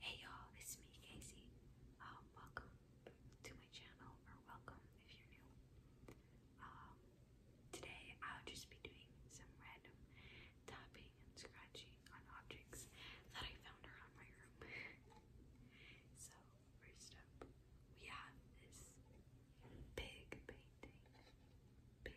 Hey y'all, it's me, Casey. Um, welcome to my channel, or welcome if you're new. Um, today I'll just be doing some random tapping and scratching on objects that I found around my room. so, first up, we have this big painting. Big.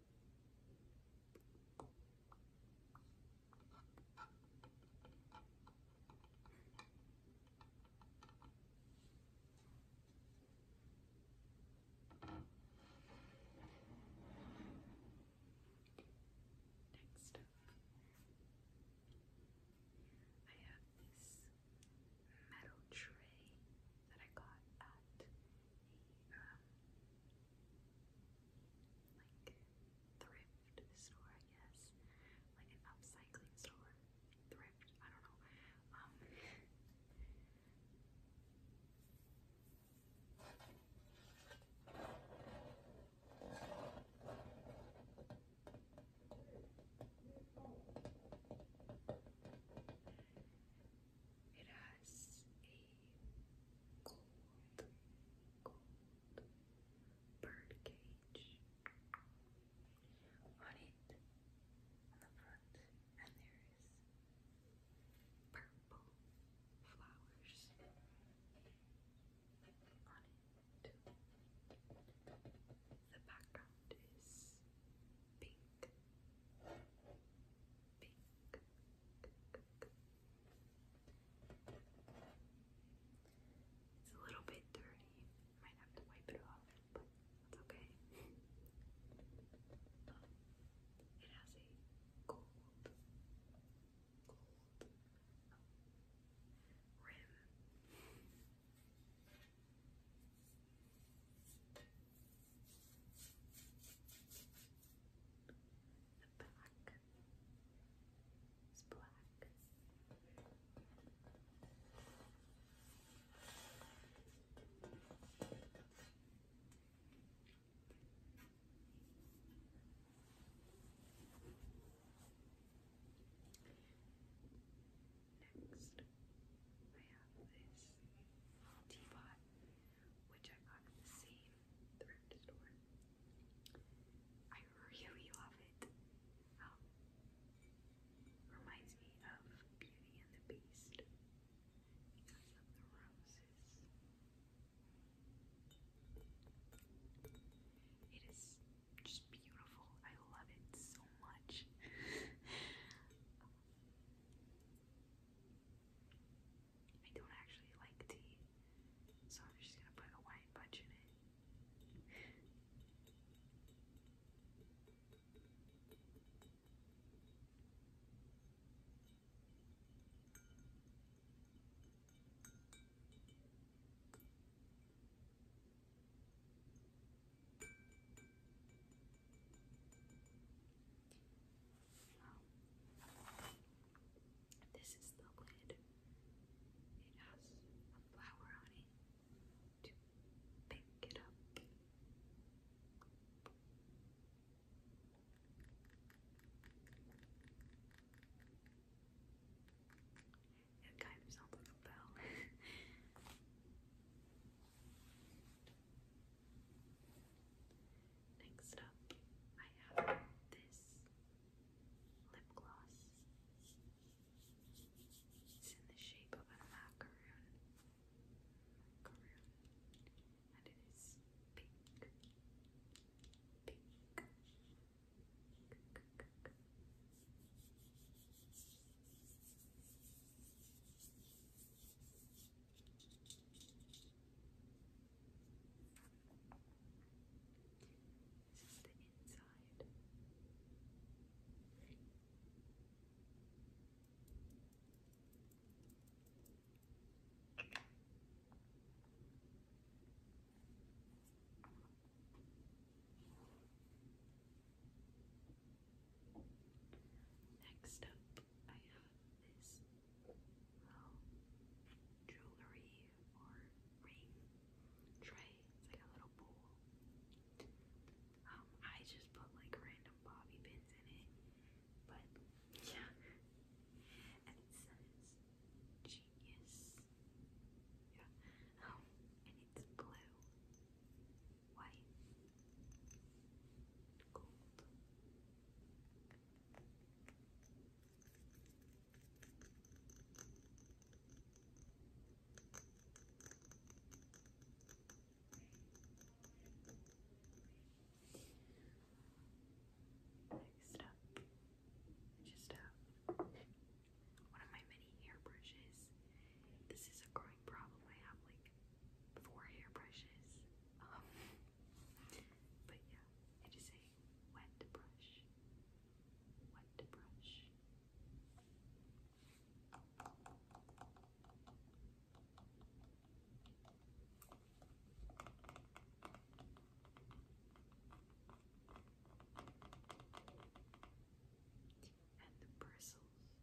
Next up, I have this metal tray that I got at um, like thrift store, I guess, like an upcycling store, thrift. I don't know. Um, it has a gold, gold on it on the front, and there is purple flowers on it. The background is pink, pink, it's a little bit dirty. Might have to wipe it off, but that's okay. it has a gold, gold rim. The back is black. Next, I have this teapot which I got in the same thrift store. I really love it. Um, reminds me of Beauty and the Beast because of the roses. It is just beautiful. I love it so much. Um, I don't actually like tea, so I'm just gonna put a wine bunch in it. Um, this is the lid. It has a flower on it to pick it up. It kind of sounds like a bell. Next up, I have this lip gloss. It's in the shape of a macaroon. And it is pink. Pink. This is the inside. Next up, I have this um, jewelry or ring tray. It's like a little bowl. Um, I just put like random bobby pins in it, but yeah. And it says genius. Yeah. Um, and it's blue, white, gold. Next up, just uh, one of my many hairbrushes. This is a growing problem. I have like four hairbrushes. Um, but yeah, it is a wet brush. Wet brush. And the bristles,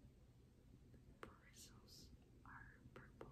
the bristles are purple.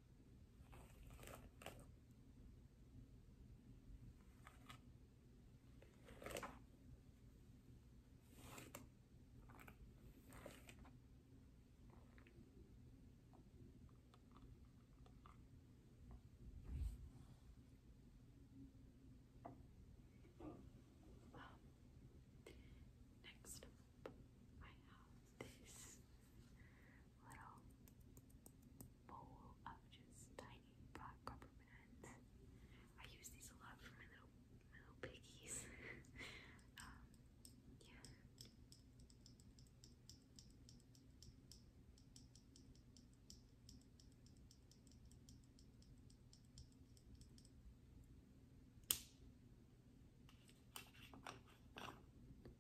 Next up, I have this little bowl of just tiny black rubber I use these a lot for my little my little piggies. Um, yeah. I'm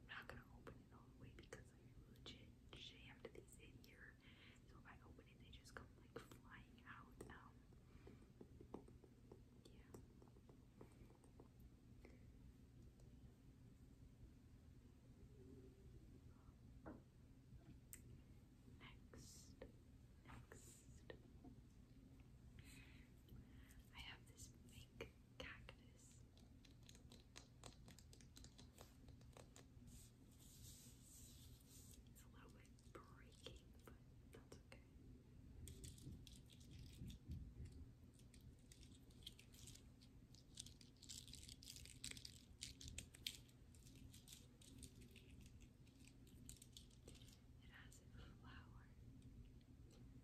not gonna open it all the way because I legit jammed these in here. So if I open it, they just come like flying out. Um, yeah. Next, next, I have this pink cactus. It's a little bit breaking, but that's okay. It has a flower.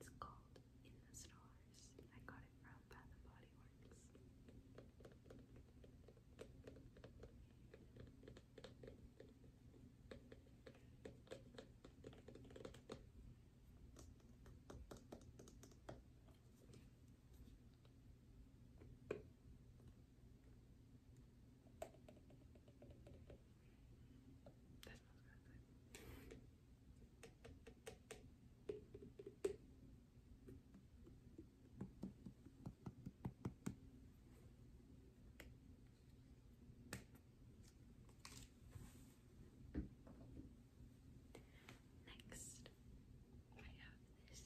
It's called In the Stars. I got it from Bath and Body Works. Next, I have this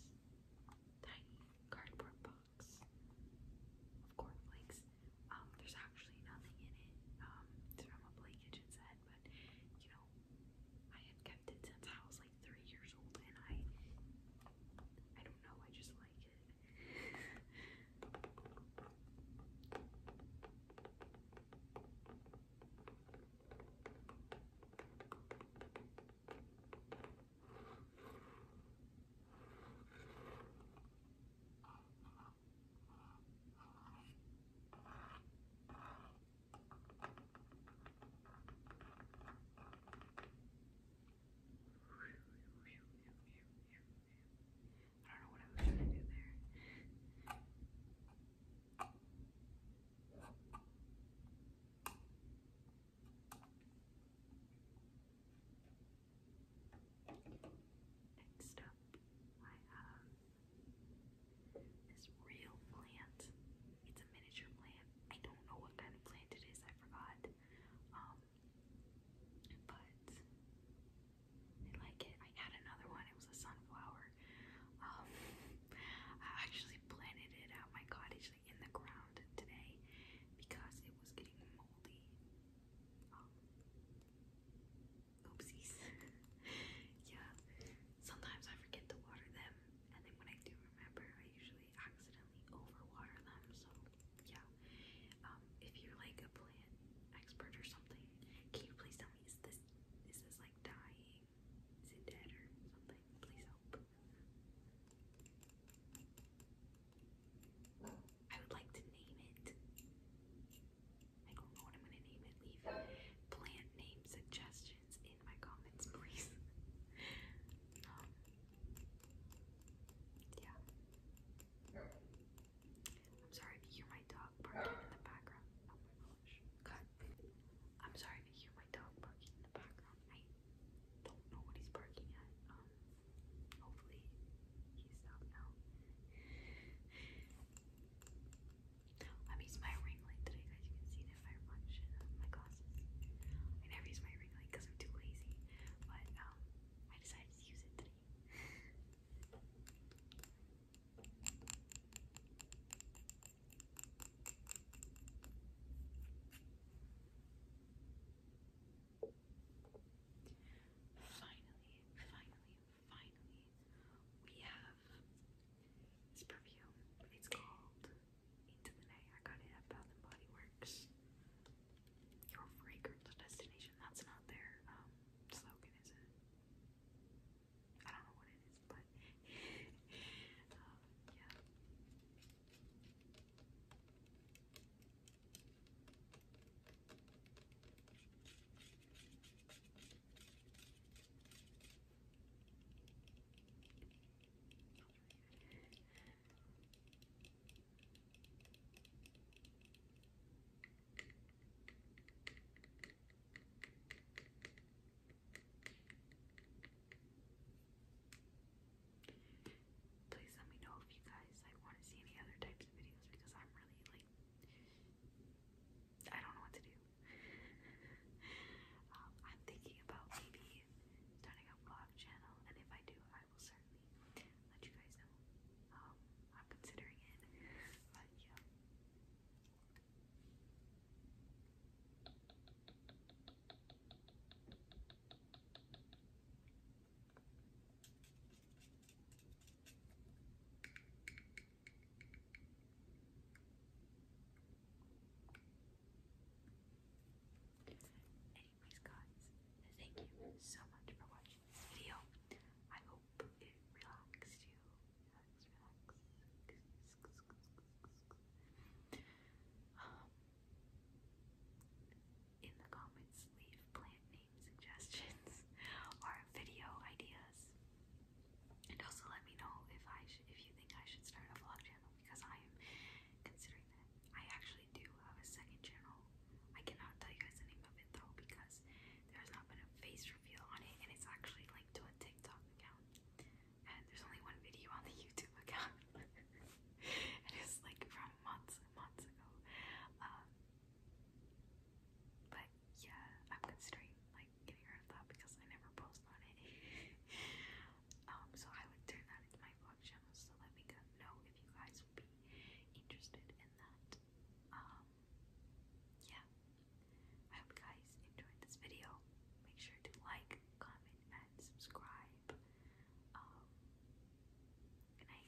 tiny cardboard box of cornflakes um, there's actually nothing in it. Um, it's from a play kitchen set, but you know, I had kept it since I was like three years old, and I, I don't know, I just like it. Um, I don't know what I was trying to do there. Next up, I have this real plant. It's a miniature plant. I don't know what kind of plant it is, I forgot. Um, but I like it. I had another one, it was a sunflower. Um, I actually planted it at my cottage, in the ground today, because it was getting moldy. Um, oopsies. yeah, sometimes I forget to water them, and then when I do remember, I usually accidentally overwater them. So yeah, um, if you're like a plant expert or something, can you please tell me is this is this like dying? Is it dead or something? Please help. I would like to name it. I don't know what I'm gonna name it. Leave plant name suggestions in my comments, please. yeah. I'm sorry if you hear my dog barking in the background. Oh I'm sorry if you hear my dog barking in the background. I don't know what he's barking at. Um hopefully he's out now. I'm using my ring light today, guys. You can see it in my reflection my glasses. I never use my ring light because I'm too lazy, but um, I decided to use it today. finally, finally, finally, we have perfume. It's called Into the Night. I got it at Bath and Body Works. Your fragrance destination. That's not their um, slogan, is it? I don't know what it is, but um, yeah. Please let me know if you guys like want to see any other types of videos because I'm really like I don't know what to do. Um, I'm thinking about maybe starting a vlog channel, and if I do, I will certainly let you guys know. Um, I'm considering it, but yeah. Anyways guys, thank you so much for watching this video. I hope it relaxed you. Um, in the comments leave plant names suggestions or video ideas. And also let me know if I sh if you think I should start a vlog channel because I am considering that. I actually do have a second channel. I cannot tell you guys the name of it though because there's not been a face reveal on it and it's actually linked to a TikTok account. And there's only one video on the YouTube account. and it's like from months and months ago. Um, but yeah, I'm considering like getting that because I never post on it. um, so I would turn that into my vlog channel. So let me know if you guys would be interested in that. Um, yeah, I hope you guys enjoyed this video. Make sure to like, comment, and subscribe. Um, good night.